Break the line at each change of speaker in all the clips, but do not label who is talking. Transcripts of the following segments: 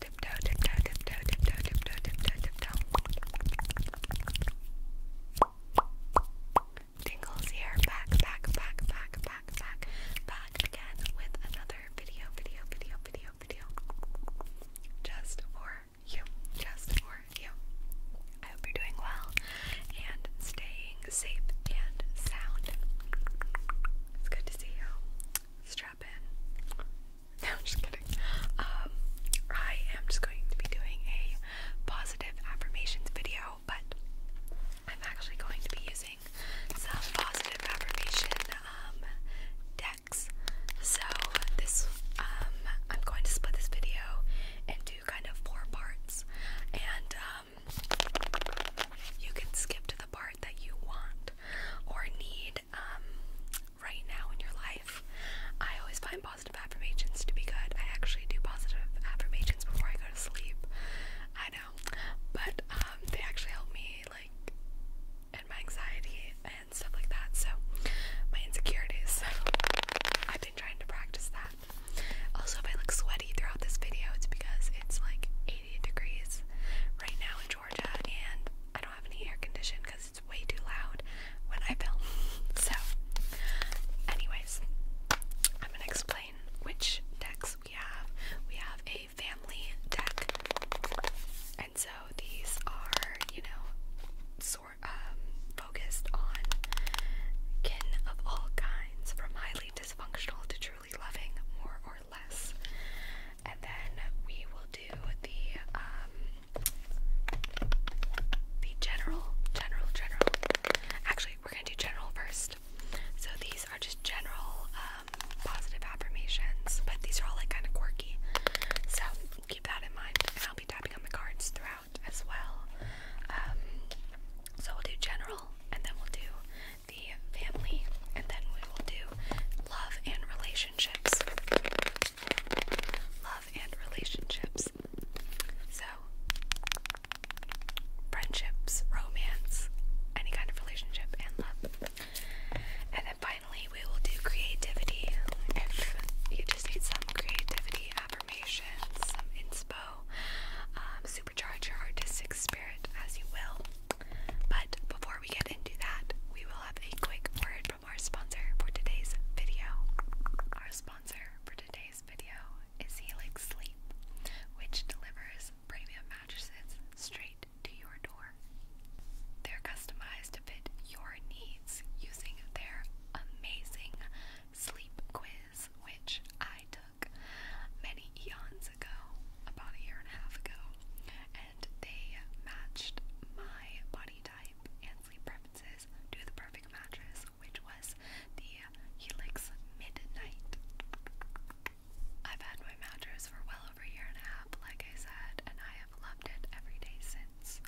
Tiptoe, here. Back, back, back, back, back, back, back again with another video, video, video, video, video. Just for you. Just for you. I hope you're doing well and staying safe and sound. It's good to see you. Strap in. No, I'm just kidding. Um, I am just going to be doing a positive affirmations video, but I'm actually going to be using some positive affirmation um, decks. So this, um, I'm going to split this video into kind of four parts, and um, you can skip to the part that you want or need um, right now in your life. I always find positive affirmations to be good. I actually do positive affirmations before I go to sleep. I know, but um, they actually help me like and my anxiety and stuff like that. So my insecurities. So I've been trying to practice that. Also, if I look sweaty throughout this video, it's because it's like 80 degrees right now in Georgia, and I don't have any air condition because it's way too loud when I film. so, anyways, I'm gonna explain which decks we have. We have a family deck, and so these are, you know, sort um focused on kin of all kinds, from highly dysfunctional to truly loving, or less. And then we will do the um the general, general, general. Actually, we're gonna do general first. So these are just general um, positive affirmations, but these are all like kind of quirky. So keep that in mind, I'll be tapping on the cards throughout as well. Um, so we'll do general, and then we'll do the family, and then we will do love and relationships relationships. Love and relationships. So, friendships, romance, any kind of relationship, and love. And then finally, we will do creativity. If you just need some creativity, affirmations, some inspo, um, supercharge your artistic spirit as you will. But before we get into that, we will have a quick word from our sponsor for today's video. Our sponsor for today's video is Helix Sleep, which delivers premium mattresses straight to your door. They're customized to fit your needs using their amazing sleep quiz, which I took many eons ago, about a year and a half ago, they matched my body type and sleep preferences to the perfect mattress, which was the Helix Midnight. I've had my mattress for well over a year and a half, like I said, and I have loved it every day since.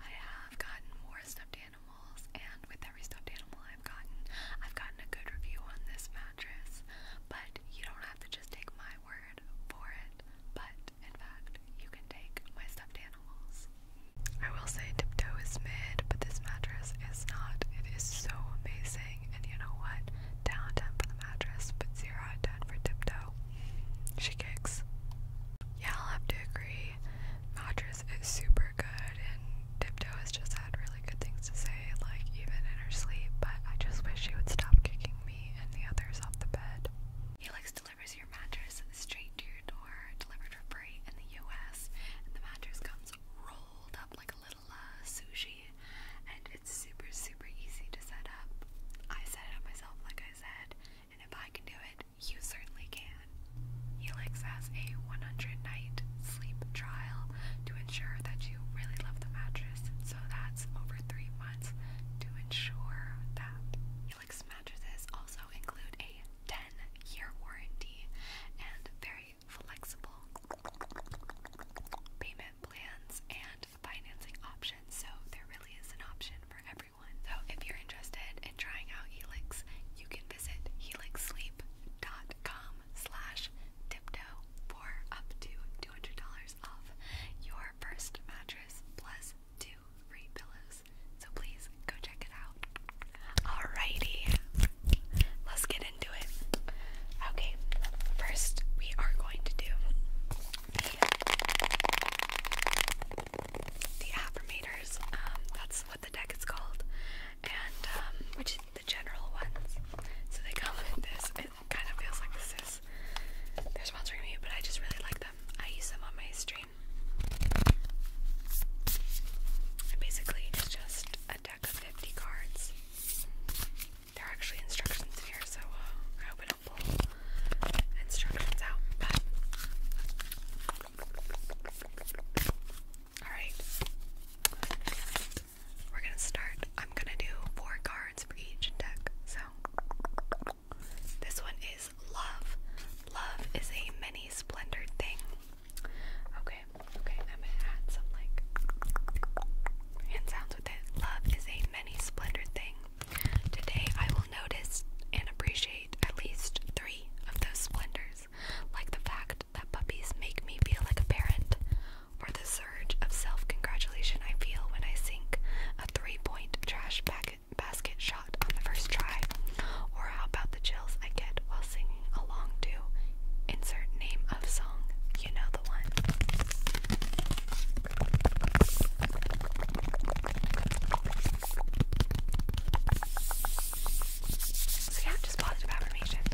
I have gotten more stuffed animals, and with every stuffed animal I've gotten, I've gotten a good review on this mattress. But you don't have to just take my word for it,
but in fact, you can take my stuffed animals. I will say Tiptoe is mid, but this mattress is not. It is so amazing,
and you know what? Down 10 for the mattress, but 0 out of 10 for Tiptoe. She kicks. Yeah, I'll have to agree. Mattress is super good, and Tiptoe has just had really good things to say, like even in her sleep, but I just wish she would stop kicking me me and the others off the bed. Helix delivers your mattress straight to your door, delivered for free in the US. And the mattress comes rolled up like a little uh, sushi, and it's super, super easy to set up. I set it up myself, like I said, and if I can do it, you certainly can. Helix has a 100 night sleep trial to ensure that you really love the mattress, so that's over three months to ensure that. Helix mattresses also include a 10 year warranty and very flexible payment plans and financing options, so there really is an option for everyone. So if you're interested in trying out Helix, you can visit helixsleep.com slash tiptoe for up to $200 off your first mattress plus two free pillows. So please go check it out. Alrighty, let's get into it. Okay, first we are going to do the, the affirmators. Um, that's what the deck is called, and um, which is the general ones. So they come in this kind of feels like this is they're sponsoring me, but I just really like them. I use them on my stream. And basically, just a deck of 50 cards. There are actually instructions in here, so uh, I hope I don't pull instructions out. But all right, we're gonna start. I'm gonna do four cards for each deck. So this one is love. Love is a mini splendor thing. Okay, okay, I'm gonna add some like hand sounds with it. Love is a many splendor thing. Today I will notice and appreciate at least three of those splendors, like the fact that puppies make me feel like a parent, or the surge of self congratulation I feel when I sink a three point trash basket shot on the first try, or how about the chills I get while singing along to insert name of song, you know the one. So yeah, just positive affirmations.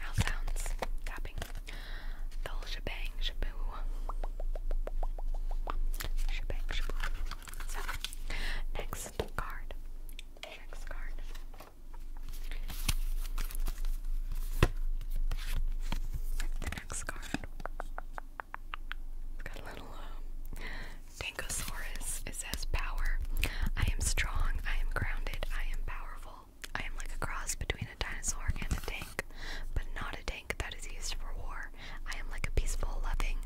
Mouth sounds, tapping, the shebang, shaboo, shebang, shaboo. next card, next card. The next card. It's got a little um, It says power. I am strong. I am grounded. I am powerful. I am like a cross between a dinosaur and a tank, but not a tank that is used for war. I am like a peaceful, loving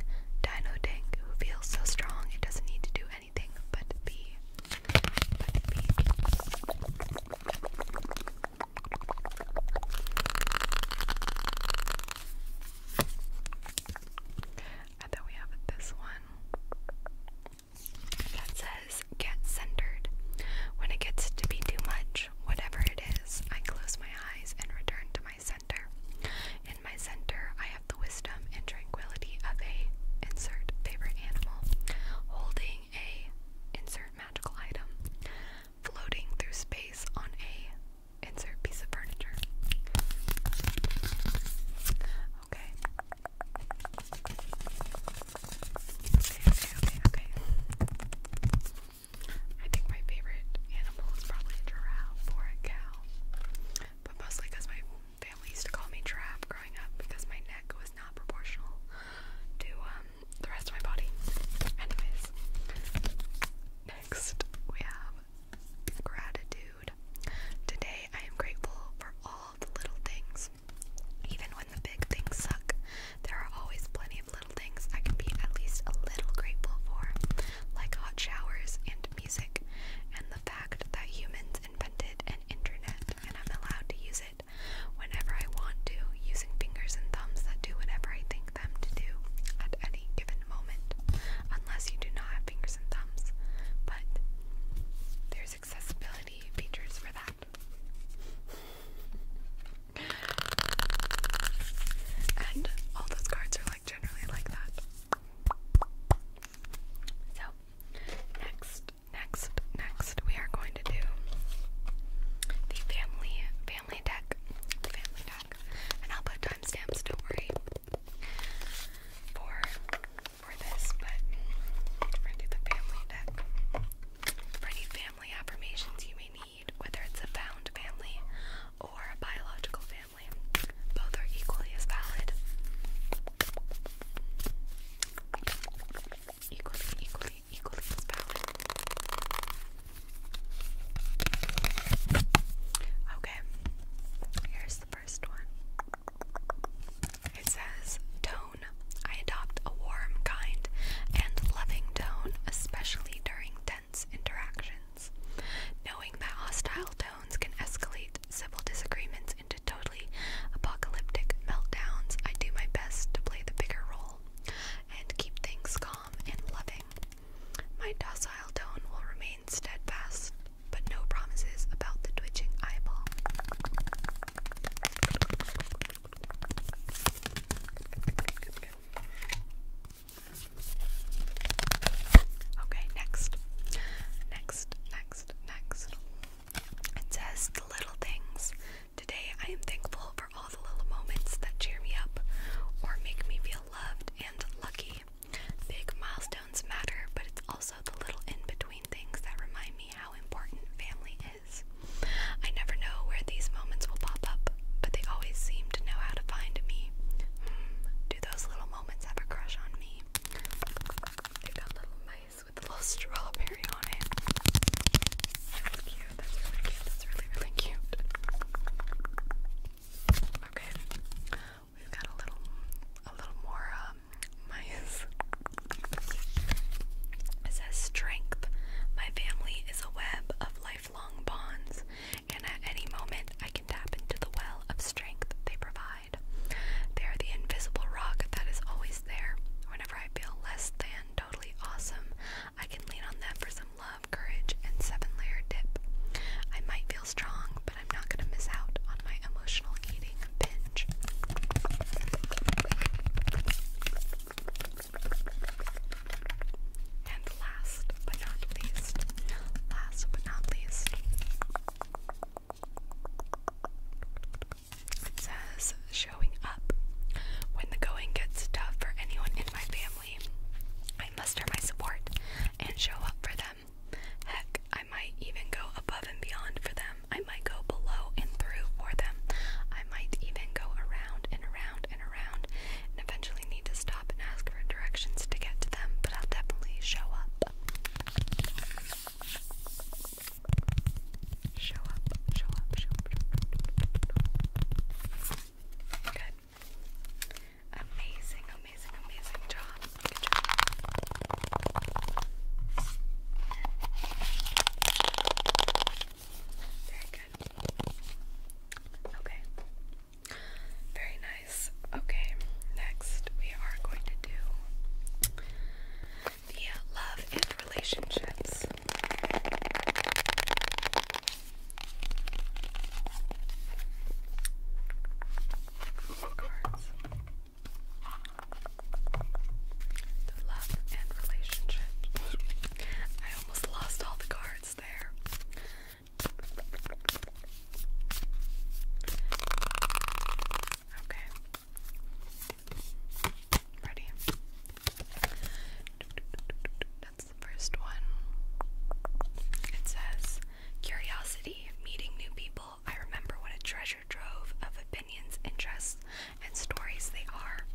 dino tank who feels so strong it doesn't need to do anything but be. But be. And then we have this one that says get centered. When it gets to be too much, whatever it is, I close my eyes and return to my center. In my center, I have the wisdom and tranquility of a insert favorite animal, holding a insert magical item, floating through space on a insert piece of furniture. Okay okay, okay. I think my favorite animal is probably a giraffe or a cow. But mostly because my family used to call me giraffe growing up because my neck was not proportional to um, the rest of my body. Anyways, next we have gratitude. Today I am grateful for all the little things even when the big things suck, there are always plenty of little things I can be at least a little grateful for, like hot showers and music, and the fact that humans invented an internet and I'm allowed to use it whenever I want to, using fingers and thumbs that do whatever I think them to do at any given moment, unless you do not have fingers and thumbs. But there's accessibility features for that. And all those cards are like generally like that. So, next, next, next, we are going to do the family family deck. family deck. And I'll put timestamps, don't worry. For for this, but we're family For any family affirmations you may need, whether it's a found family or a biological family, both are equally as valid. Equally, equally, equally as valid. Okay, here's the first one. It says, Tone. I adopt a warm, kind, and loving tone, especially during tense interactions. Knowing that hostile tones can escalate civil disagreements into totally apocalyptic meltdowns, I do my best to play the bigger role and keep things calm and loving. My docile tone will remain steadfast, but no promises about the twitching eyeball. Okay, next. Next, next, next. It says the little things. Today I am thankful for all the little moments that cheer me up or make me feel loved and lucky. Big milestones matter, but it's also the little in between things that remind me how important family is. I never know where these moments will pop up, but they always seem to know how to find me. Hmm, do those little moments have a crush on me? They've got little mice with a little strawberry on it. That's cute. That's really cute. That's really, really cute. Okay. We've got a little a little more uh, my it says strength. My family is a web of lifelong bonds, and at any moment I can tap into the well of strength they provide. They are the invisible rock that is always there. Whenever I feel less than totally awesome, I can lean on them for some love, courage, and seven layer dip. I might feel strong, but I'm not going to miss out on my emotional eating eating binge. And last but not least, last but not least, it says showing up. When the going gets tough for anyone in my family, I muster my support and show up for them. Heck, I I might even go above and beyond for them. I might go below and through for them. I might even go around and around and around and eventually need to stop and ask for directions to get to them, but I'll definitely show up. Show up, show up, show up. Good. Amazing, amazing, amazing job. Good job. Very good. Okay. Very nice. Okay, next we are going to do the love and relationships. Cards love and relationship. I almost lost all the cards there. Okay. Ready? That's the first one. It says curiosity, meeting new people, I remember what a treasure trove of opinions, interests, and stories they are.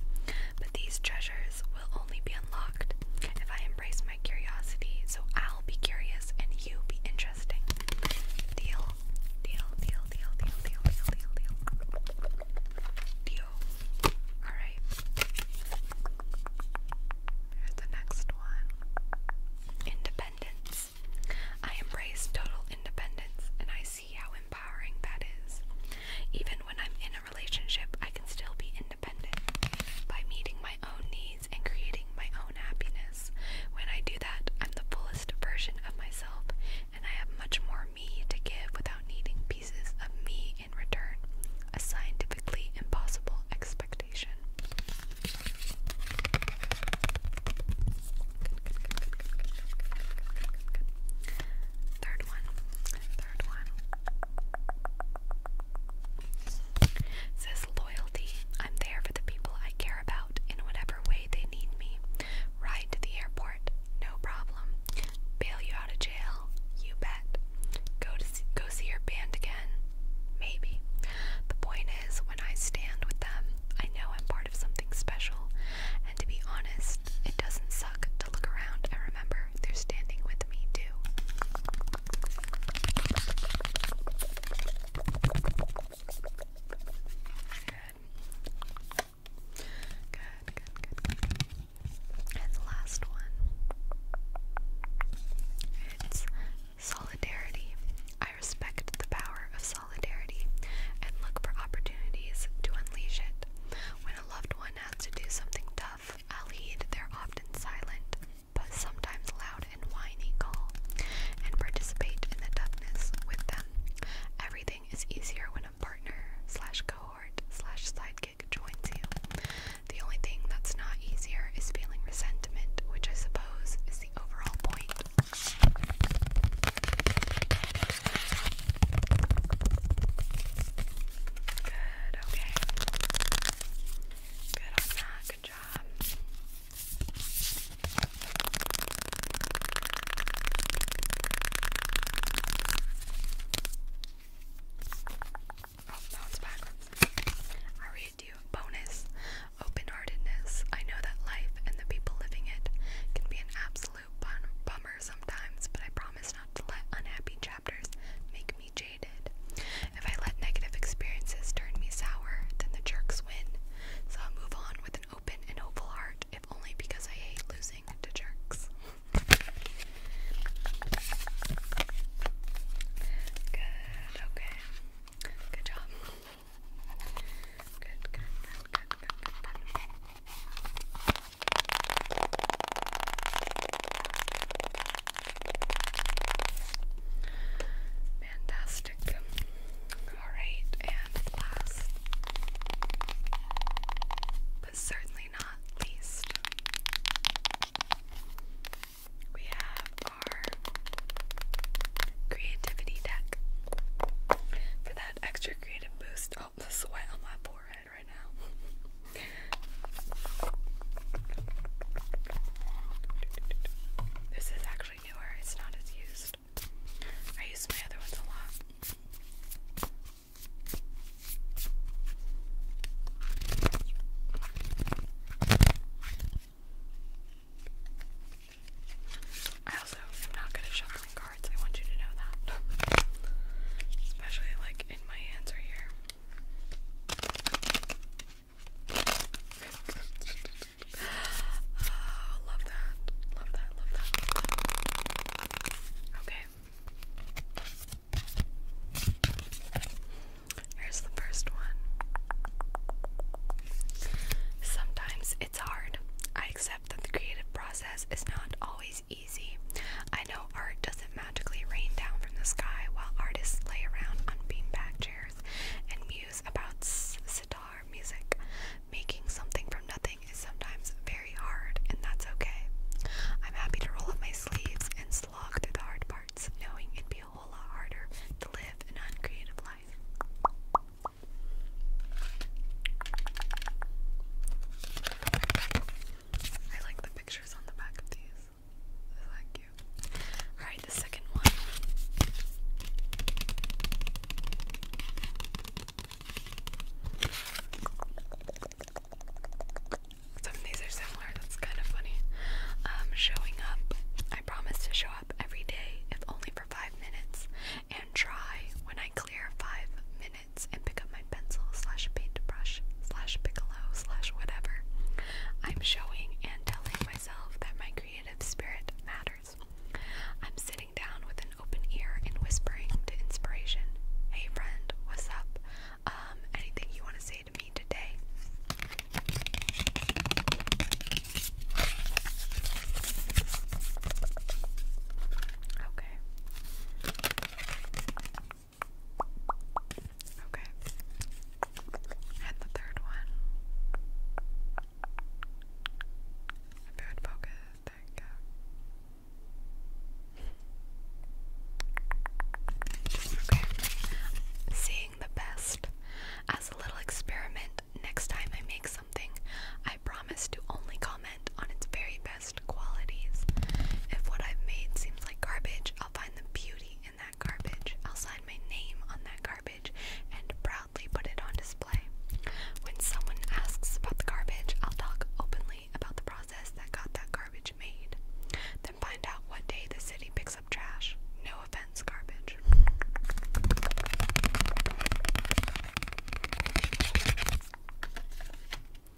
But these treasures will only be unlocked if I embrace my curiosity, so I'll be curious and you be interesting. deal, deal, deal, deal, deal, deal, deal, deal. Deal. Alright. Here's the next one Independence. I embrace total independence and I see see how empowering that is. Even when I'm in a relationship, I can still be independent by meeting my own needs and creating my own happiness. When I do that, I'm the fullest version of myself and I have much more me to give without needing pieces of me in return. A scientifically impossible expectation. Third one. Third one. says loyalty. I'm there for the people I care about in whatever way they need me. Ride to the airport, no problem. Bail you out of jail, you bet. Go to see, go see your band again, maybe. The point is, when I stand with them, I know I'm part of something special, and to be honest, it doesn't suck to look around and remember they're standing with me too. Good. Good, good, And the last one. It's solidarity respect the power of solidarity and look for opportunities to unleash it. When a loved one has to do something tough, I'll heed their often silent but sometimes loud and whiny call and participate in the toughness with them. Everything is easier when a partner slash cohort slash sidekick joins you. The only thing that's not easier is feeling resentment, which I suppose is the overall point. Good, okay. Good on that, good job. Oh, that one's backwards. I read you. Bonus. Open lightheartedness, I know that life and the people living it can be an absolute bum bummer sometimes, but I promise not to let unhappy chapters make me jaded. If I let negative experiences turn me sour, then the jerks win. So I'll move on with an open and hopeful heart, if only because I hate losing to jerks. Good, okay. Good job. Fantastic. Alright, and last but certainly not least, we have our creativity deck. For that extra creative boost. Oh, the sweat on my forehead right now. This is actually newer, it's not as used. I use my other ones a lot. I also am not good at shuffling cards. I want you to know that. Especially like in my hands right here. oh, love that. Love that. Love that. Okay. Here's the first one. Sometimes it's hard. I accept that the creative process is not always easy. I know art doesn't magically rain down from the sky while artists lay around on beanbag chairs and muse about sitar music. Making something from nothing is sometimes very hard, and that's okay. I'm happy to roll up my sleeves and slog through the hard parts, knowing it'd be a whole lot harder to live an uncreative life. I like the pictures on the back of these. They like cute. Alright, the second one. Some of these are similar, that's kind of funny. Um, showing up. I promise to show up every day, if only for five minutes, and try when I clear five minutes and pick up my pencil slash paintbrush slash piccolo slash whatever. I'm showing and telling myself that my creative spirit matters. I'm sitting down with an open ear and whispering to inspiration, hey friend, what's up? Um, anything you want to say to me today? Okay. Okay. And the third one. If focus, there you go. Okay. Seeing the best as a little experiment next time I make something, I promise to only comment on its very best qualities. If what I've made seems like garbage, I'll find the beauty in that garbage. I'll sign my name on that garbage and proudly put it on display. When someone asks about the garbage, I'll talk openly about the process that got that garbage made. Then find out what day the city picks up trash. No offense, garbage.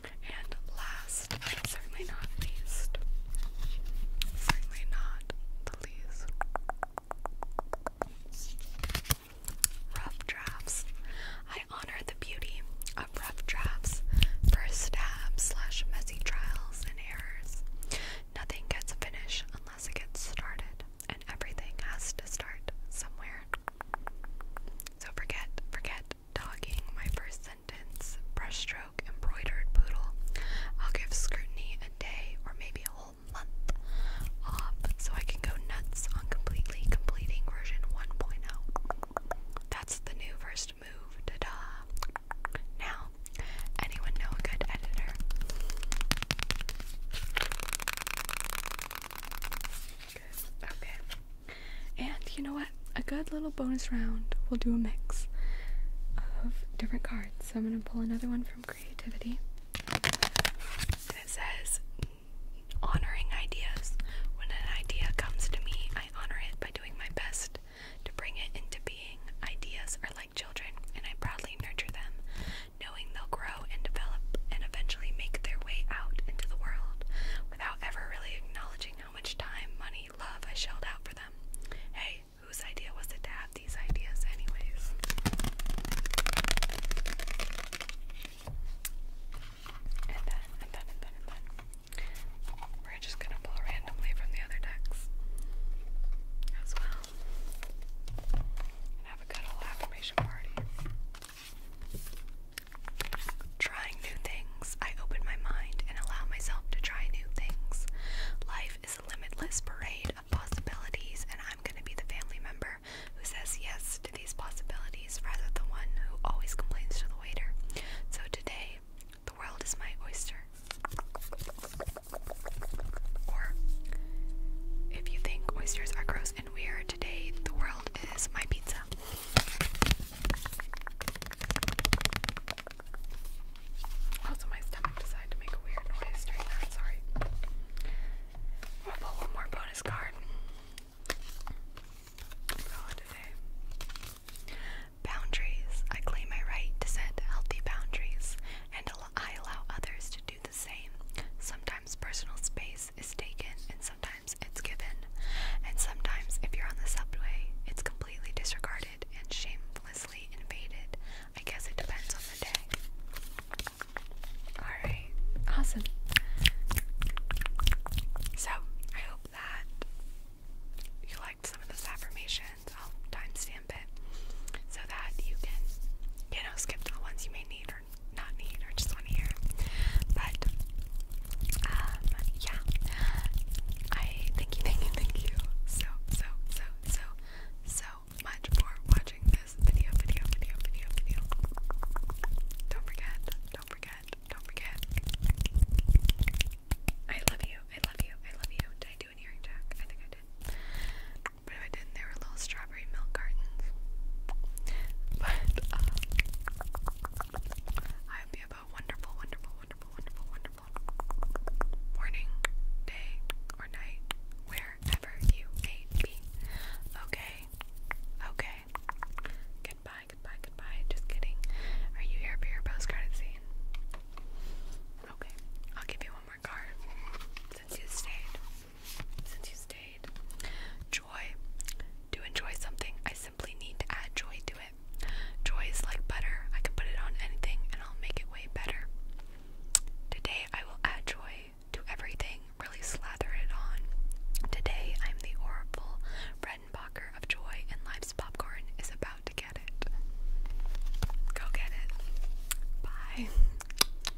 And last, certainly not least, certainly not the least, rough drafts. I honor the beauty of rough drafts, first stab slash messy trials and errors. Nothing gets finished unless it gets started and everything has to start somewhere. So forget, forget dogging my first sentence, brushstroke, embroidered poodle. I'll give scrutiny a day or maybe a whole month off so I can go nuts on completely completing version 1.0. That's the new first move, ta-da! Now, anyone know a good editor? Okay. And you know what? A good little bonus round. We'll do a mix of different cards. So I'm going to pull another one from Creativity. it says, honoring ideas. When an idea comes to me, I honor it by doing my best to bring it into being. Ideas are like children, and I proudly nurture them knowing they'll grow and develop and eventually make their way out into the world without ever really acknowledging how much time, money, love I shelled out for them. Hey, whose idea was it to have these ideas, anyways? And then, and then, and then, and then. We're just gonna pull randomly from the other decks as well have a good old affirmation party. Trying new things, I open my mind and allow myself to try new things. Life is a limitless parade of possibilities, and I'm going to be the family member who says yes to these possibilities rather than the one who always complains to the waiter. So today, the world is my oyster. Or, if you think oysters are gross and we are today. The world is my pizza. Also, my stomach decided to make a weird noise during that. Sorry. We'll pull one more bonus card. Call Boundaries. I claim my right to set healthy boundaries, and I allow others to do same. Sometimes personal space is taken and sometimes it's given. And sometimes, if you're on the subway, it's completely disregarded and shamelessly invaded. I guess it depends on the day. Alright, awesome. So, I hope that you liked some of those affirmations. I'll timestamp it so that you can, you know, skip the ones you may need or not need or just want to hear. But um yeah. I thank you, thank you, thank you so so so so so much for watching this video, video, video, video, video. Don't forget, don't forget, don't forget. I love you, I love you, I love you. Did I do an earring jack? I think I did. But if I didn't, they were little strawberry milk cartons. But uh, I hope you have a wonderful, wonderful, wonderful, wonderful, wonderful morning, day, or night, wherever you may be. Okay, okay. Goodbye, goodbye, goodbye. Just kidding. Are you here for your postcard scene? Okay, I'll give you one more card since you stayed since you stayed. Joy. To enjoy something, I simply need to add joy to it. Joy is like butter. I can put it on anything and I'll make it way better. Today, I will add joy to everything, really slather it on. Today, I'm the Oracle Bredenbacher of joy, and Life's Popcorn is about to get it. Go get it. Bye.